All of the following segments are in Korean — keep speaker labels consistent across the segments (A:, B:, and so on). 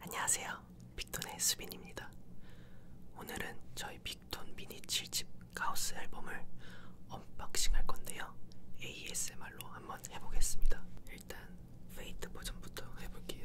A: 안녕하세요. 빅톤의 수빈입니다. 오늘은 저희 빅톤 미니 7집 가우스 앨범을 언박싱 할 건데요. ASMR로 한번 해보겠습니다. 일단 페이트 버전부터 해볼게요.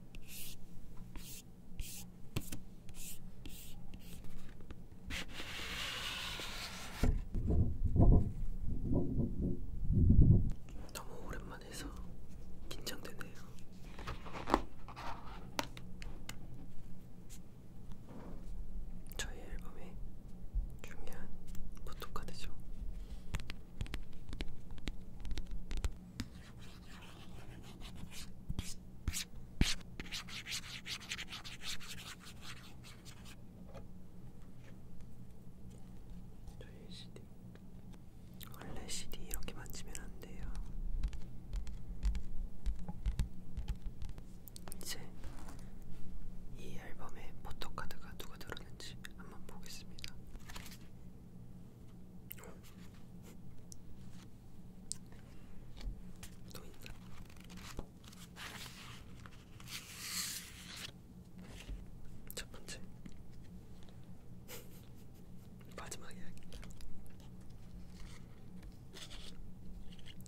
A: 너무 오랜만에 해서 긴장되네요. 저희 앨범의 중요한 포토카드죠. 저희 CD 원래 CD 이렇게 만지면 안 돼요. 이제 이 앨범에 포토카드가 누가 들었는지 한번 보겠습니다. 또 있나? 첫 번째 마지막 이야기입니다.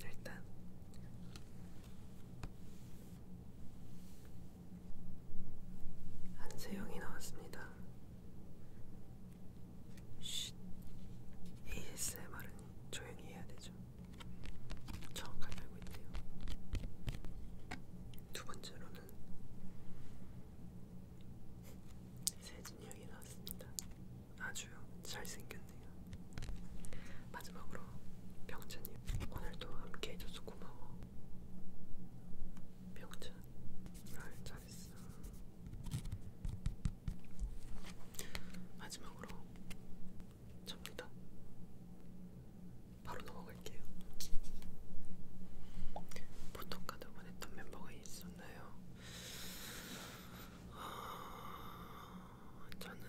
A: 일단 안세영이 나왔습니다. 쉿. ASMR은 조용히 해야 되죠. 정확하게 알고 있네요. 두 번째로는 세진이 형이 나왔습니다. 아주 잘생겼네요. 마지막으로 병찬이 하나님 오늘도 함께 해줘서 고마워 병찬 말 잘했어 마지막으로 접니다 바로 넘어갈게요 포토카드 보냈던 멤버가 있었나요? 아, 저는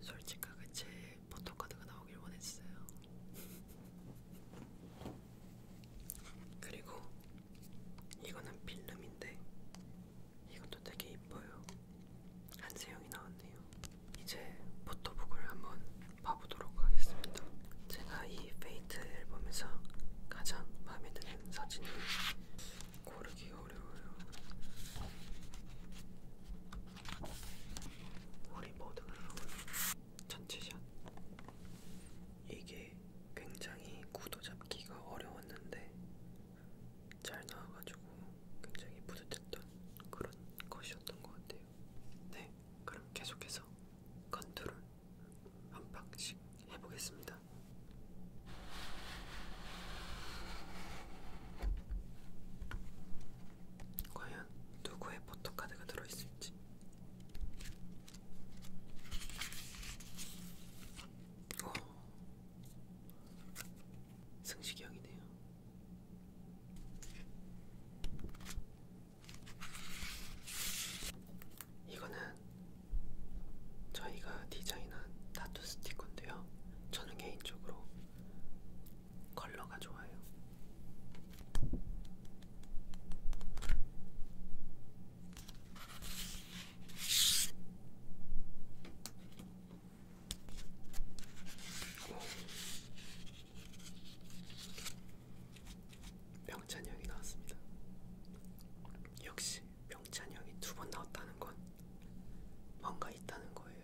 A: 솔직하게 제일 포토카드가 나오길 원했어요. 그리고 이거는 필름인데 이것도 되게 이뻐요. 한세영이 나왔네요. 이제 포토북을 한번 봐보도록 하겠습니다. 제가 이 페이트 앨범에서 가장 마음에 드는 사진을 고르기 어려워요. 우리 모두가 전체샷 이게 굉장히 구도 잡기가 어려웠는데 잘 나와가지고 굉장히 뿌듯했던 그런 것이었던 것 같아요. 네, 그럼 계속해서 컨트롤 한 박씩 해보겠습니다. 과연 누구의 포토카드가 들어있을지 오. 승식이 형이네요 이거는 저희가 디자인한 타투 스티커인데요 저는 개인적으로 컬러가 좋아요. 명찬형이 나왔습니다. 역시 명찬형이 두 번 나왔다는 건 뭔가 있다는 거예요.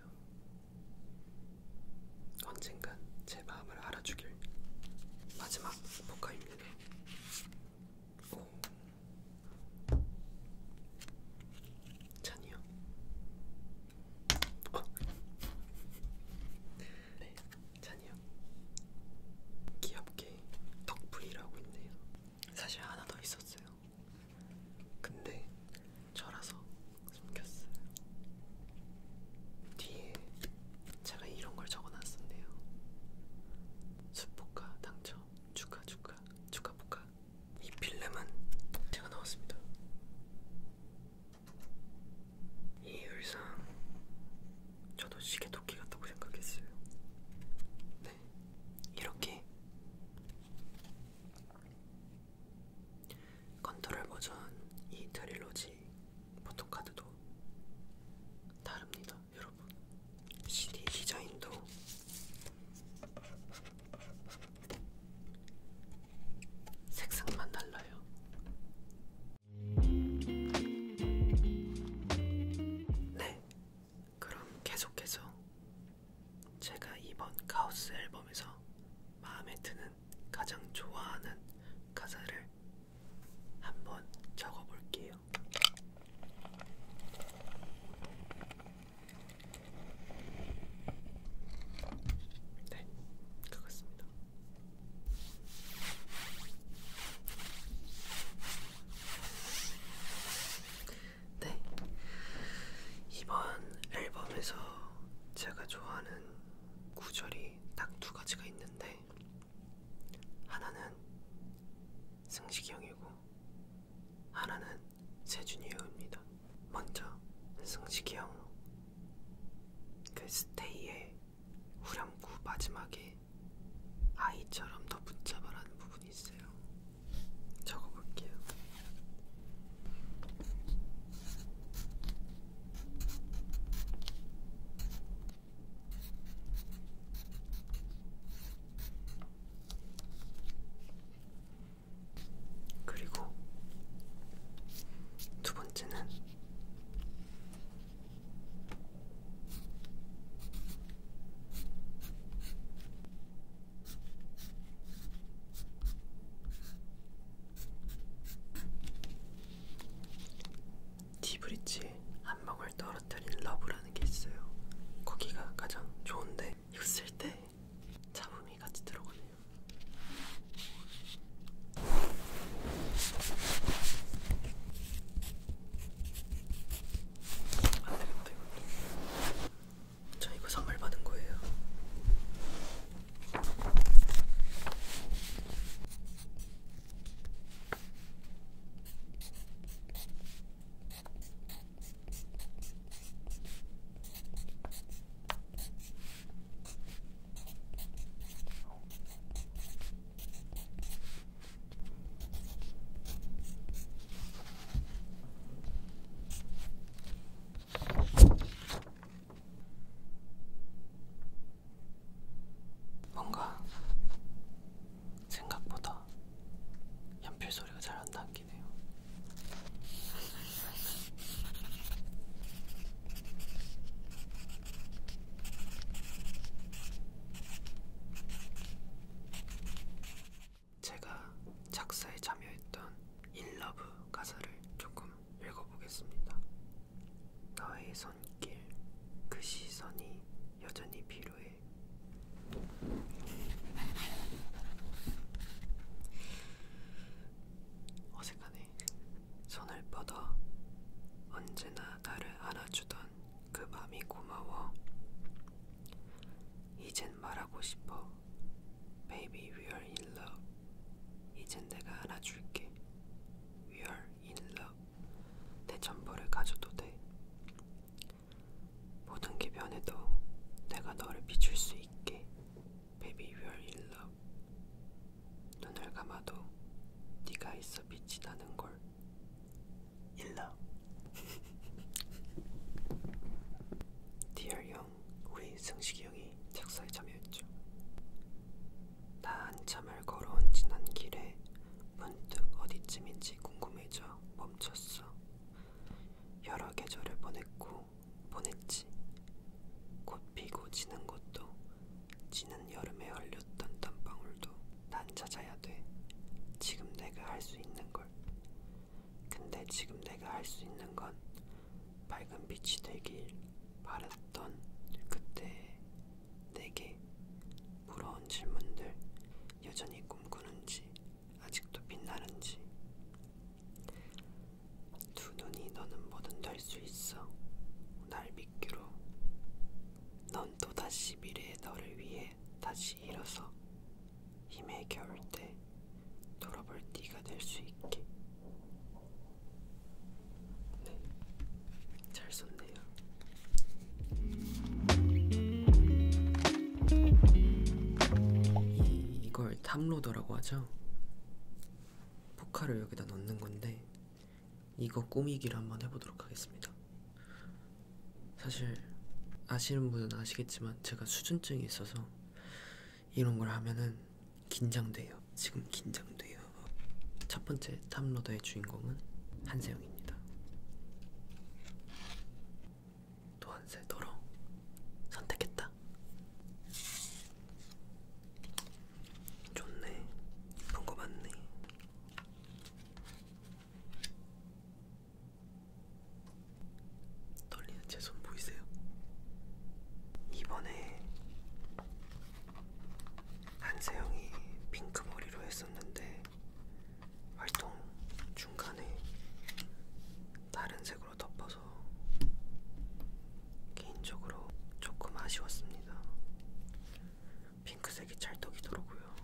A: 언젠간 제 마음을 알아주길 마지막 포카입니다. 오. 찬이요. 어. 네, 찬이요. 귀엽게 덕분이라고 있네요. 사실 하나 더 있었어요. 근데 저라서 숨겼어요. 뒤에 제가 이런 걸 적어놨었네요. 숯볶아 당첨 축하 축하 축하 볶아 이 필름은 제가 넣었습니다. 이 의상 저도 시계 도끼 같다고 생각했어요. 네 이렇게 컨트롤 버전 이 트릴로지 포토카드도 다릅니다, 여러분. CD 디자인도 색상만 달라요. 네, 그럼 계속해서 제가 이번 카오스 앨범에서 마음에 드는 가장 좋아하는 가사를 한 번 적어볼게요. 네, 그렇습니다. 네. 이번 앨범에서 제가 좋아하는 구절이 딱 두 가지가 있는데, 하나는 승식이 형이고, 하나는 세준이 형입니다. 먼저, 승식이 형, 그 스테이의 후렴구 마지막에 아이처럼 더 붙잡아라는 부분이 있어요. 적어볼게요. 그리고 두 번째는 디브리치 한 방울 떨어뜨린 러브라는 게 있어요. 거기가 가장 좋은데 이거 쓸때 잡음이 같이 들어가네요. 안되겠다 이것도 저 이거 선물 받은 거예요. 뭔가 생각보다 연필 소리가 잘 안 담기네요. 제가 작사에 참여했던 인러브 가사를 조금 읽어보겠습니다. 너의 손길, 그 시선이 여전히 필요해. 어색하네. 손을 뻗어 언제나 나를 안아주던 그 맘이 고마워. 이젠 말하고 싶어. Baby, we are in love. 이젠 내가 안아줄게. We are in love. 내 전부를 가져도 돼. 모든 게 변해도 내가 너를 비출 수 있게. Baby, we are in love. 눈을 감아도 네가 있어 빛이 나는 걸. In love. 디얼 형, 우리 승식이 형이 작사에 참여했죠. 나 한참을 걸어온 지난 길에 문득 어디쯤인지 궁금해져 멈췄어. 여러 계절을 보냈고 보냈지. 곧 피고 지는 것도 지는 여름에 흘렸던 땀방울도 난 찾아야 돼. 지금 내가 할 수 있는 걸 걸. 근데 지금 내가 할 수 있는 건 밝은 빛이 되길 바랬던 그때 내게 부러운 질문들 여전히 꿈꾸는지 아직도 빛나는지 두 눈이 너는 뭐든 될 수 있어 날 믿기로 넌 또다시 미래의 너를 위해 쉽게 다시 일어서 힘에 겨울 때 돌아볼 띠가 될 수 있게. 네, 잘 썼네요. 이, 이걸 탑로더라고 하죠. 포카를 여기다 넣는 건데 이거 꾸미기를 한번 해보도록 하겠습니다. 사실 아시는 분은 아시겠지만 제가 수준증이 있어서 이런 걸 하면은 긴장돼요. 지금 긴장돼요. 첫 번째 탑로더의 주인공은 한세영입니다. 또한세 너로 선택했다. 좋네. 이쁜 거 맞네. 떨리는 제 손 보이세요? 이번에 한세영이 핑크 머리로 했었는데 활동 중간에 다른 색으로 덮어서 개인적으로 조금 아쉬웠습니다. 핑크색이 찰떡이더라고요.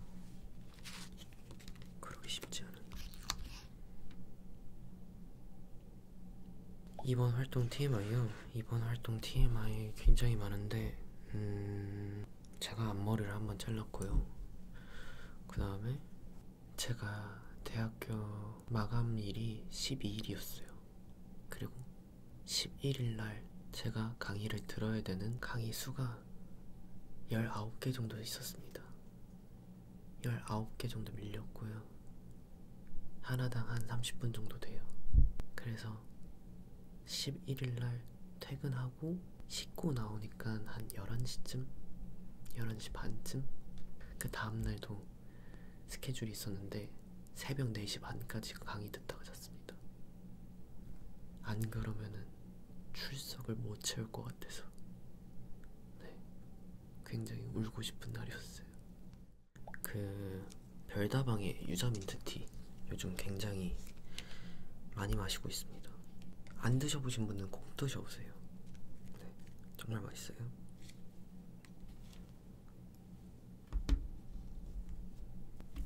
A: 그러기 쉽지 않은. 이번 활동 TMI요. 이번 활동 TMI 굉장히 많은데, 음, 제가 앞머리를 한번 잘랐고요. 그 다음에 제가 대학교 마감일이 12일이었어요. 그리고 11일 날 제가 강의를 들어야 되는 강의 수가 19개 정도 있었습니다. 19개 정도 밀렸고요. 하나당 한 30분 정도 돼요. 그래서 11일날 퇴근하고 씻고 나오니까 한 11시쯤? 11시 반쯤? 그 다음날도 스케줄이 있었는데 새벽 4시 반까지 강의 듣다가 잤습니다. 안 그러면은 출석을 못 채울 것 같아서 네, 굉장히 울고 싶은 날이었어요. 그 별다방의 유자민트티 요즘 굉장히 많이 마시고 있습니다. 안 드셔보신 분은 꼭 드셔보세요. 네, 정말 맛있어요.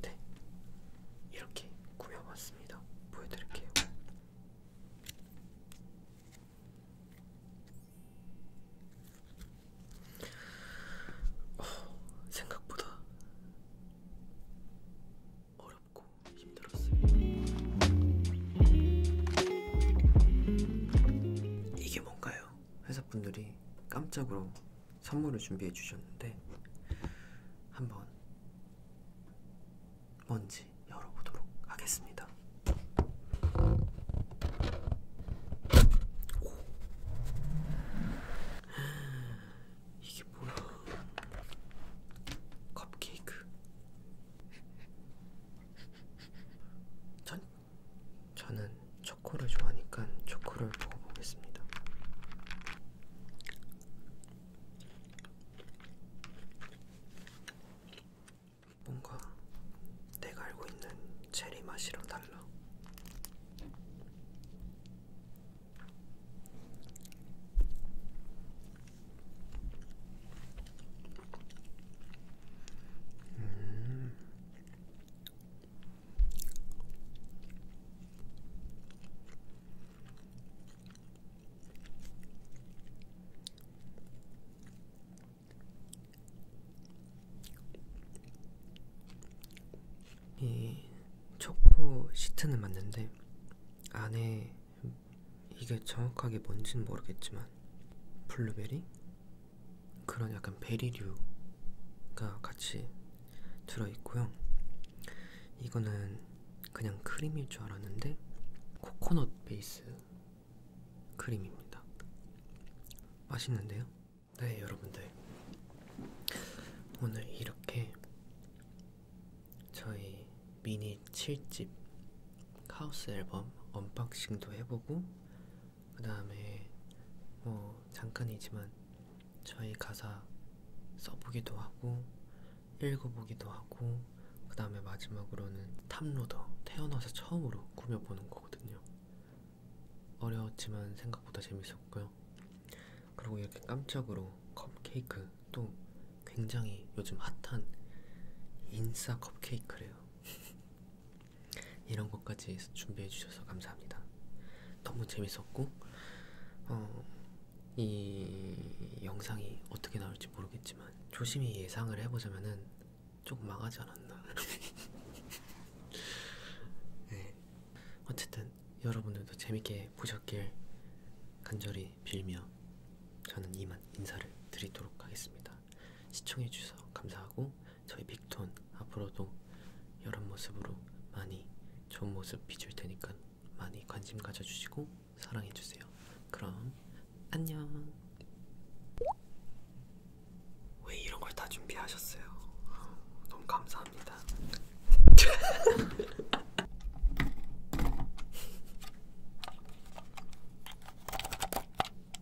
A: 네, 이렇게 꾸며봤습니다. 보여드릴게요. 어, 생각보다 어렵고 힘들었어요. 이게 뭔가요? 회사분들이 깜짝으로 선물을 준비해 주셨는데 한번 뭔지 열어보도록 하겠습니다. 오. 이게 뭐야? 컵케이크. 전 저는 초코를 좋아하니까 초코를 먹어보겠습니다. 뭔가 내가 알고 있는 체리 맛이랑 달라. 음. 이 초코 시트는 맞는데 안에 이게 정확하게 뭔지는 모르겠지만 블루베리? 그런 약간 베리류가 같이 들어있고요. 이거는 그냥 크림일 줄 알았는데 코코넛 베이스 크림입니다. 맛있는데요? 네, 여러분들. 오늘 이렇게 저희 미니 7집 하우스 앨범 언박싱도 해보고 그 다음에 뭐 잠깐이지만 저희 가사 써보기도 하고 읽어보기도 하고 그 다음에 마지막으로는 탑로더 태어나서 처음으로 꾸며보는 거거든요 어려웠지만 생각보다 재밌었고요 그리고 이렇게 깜짝으로 컵케이크 또 굉장히 요즘 핫한 인싸 컵케이크래요 이런 것까지 준비해 주셔서 감사합니다. 너무 재밌었고 어, 이 영상이 어떻게 나올지 모르겠지만 조심히 예상을 해보자면은 조금 망하지 않았나. 네. 어쨌든 여러분들도 재밌게 보셨길 간절히 빌며 저는 이만 인사를 드리도록 하겠습니다. 시청해주셔서 감사하고 저희 빅톤 앞으로도 이런 모습으로 많이 좋은 모습 비출 테니까 많이 관심 가져주시고 사랑해주세요. 그럼 안녕. 왜 이런 걸 다 준비하셨어요? 너무 감사합니다.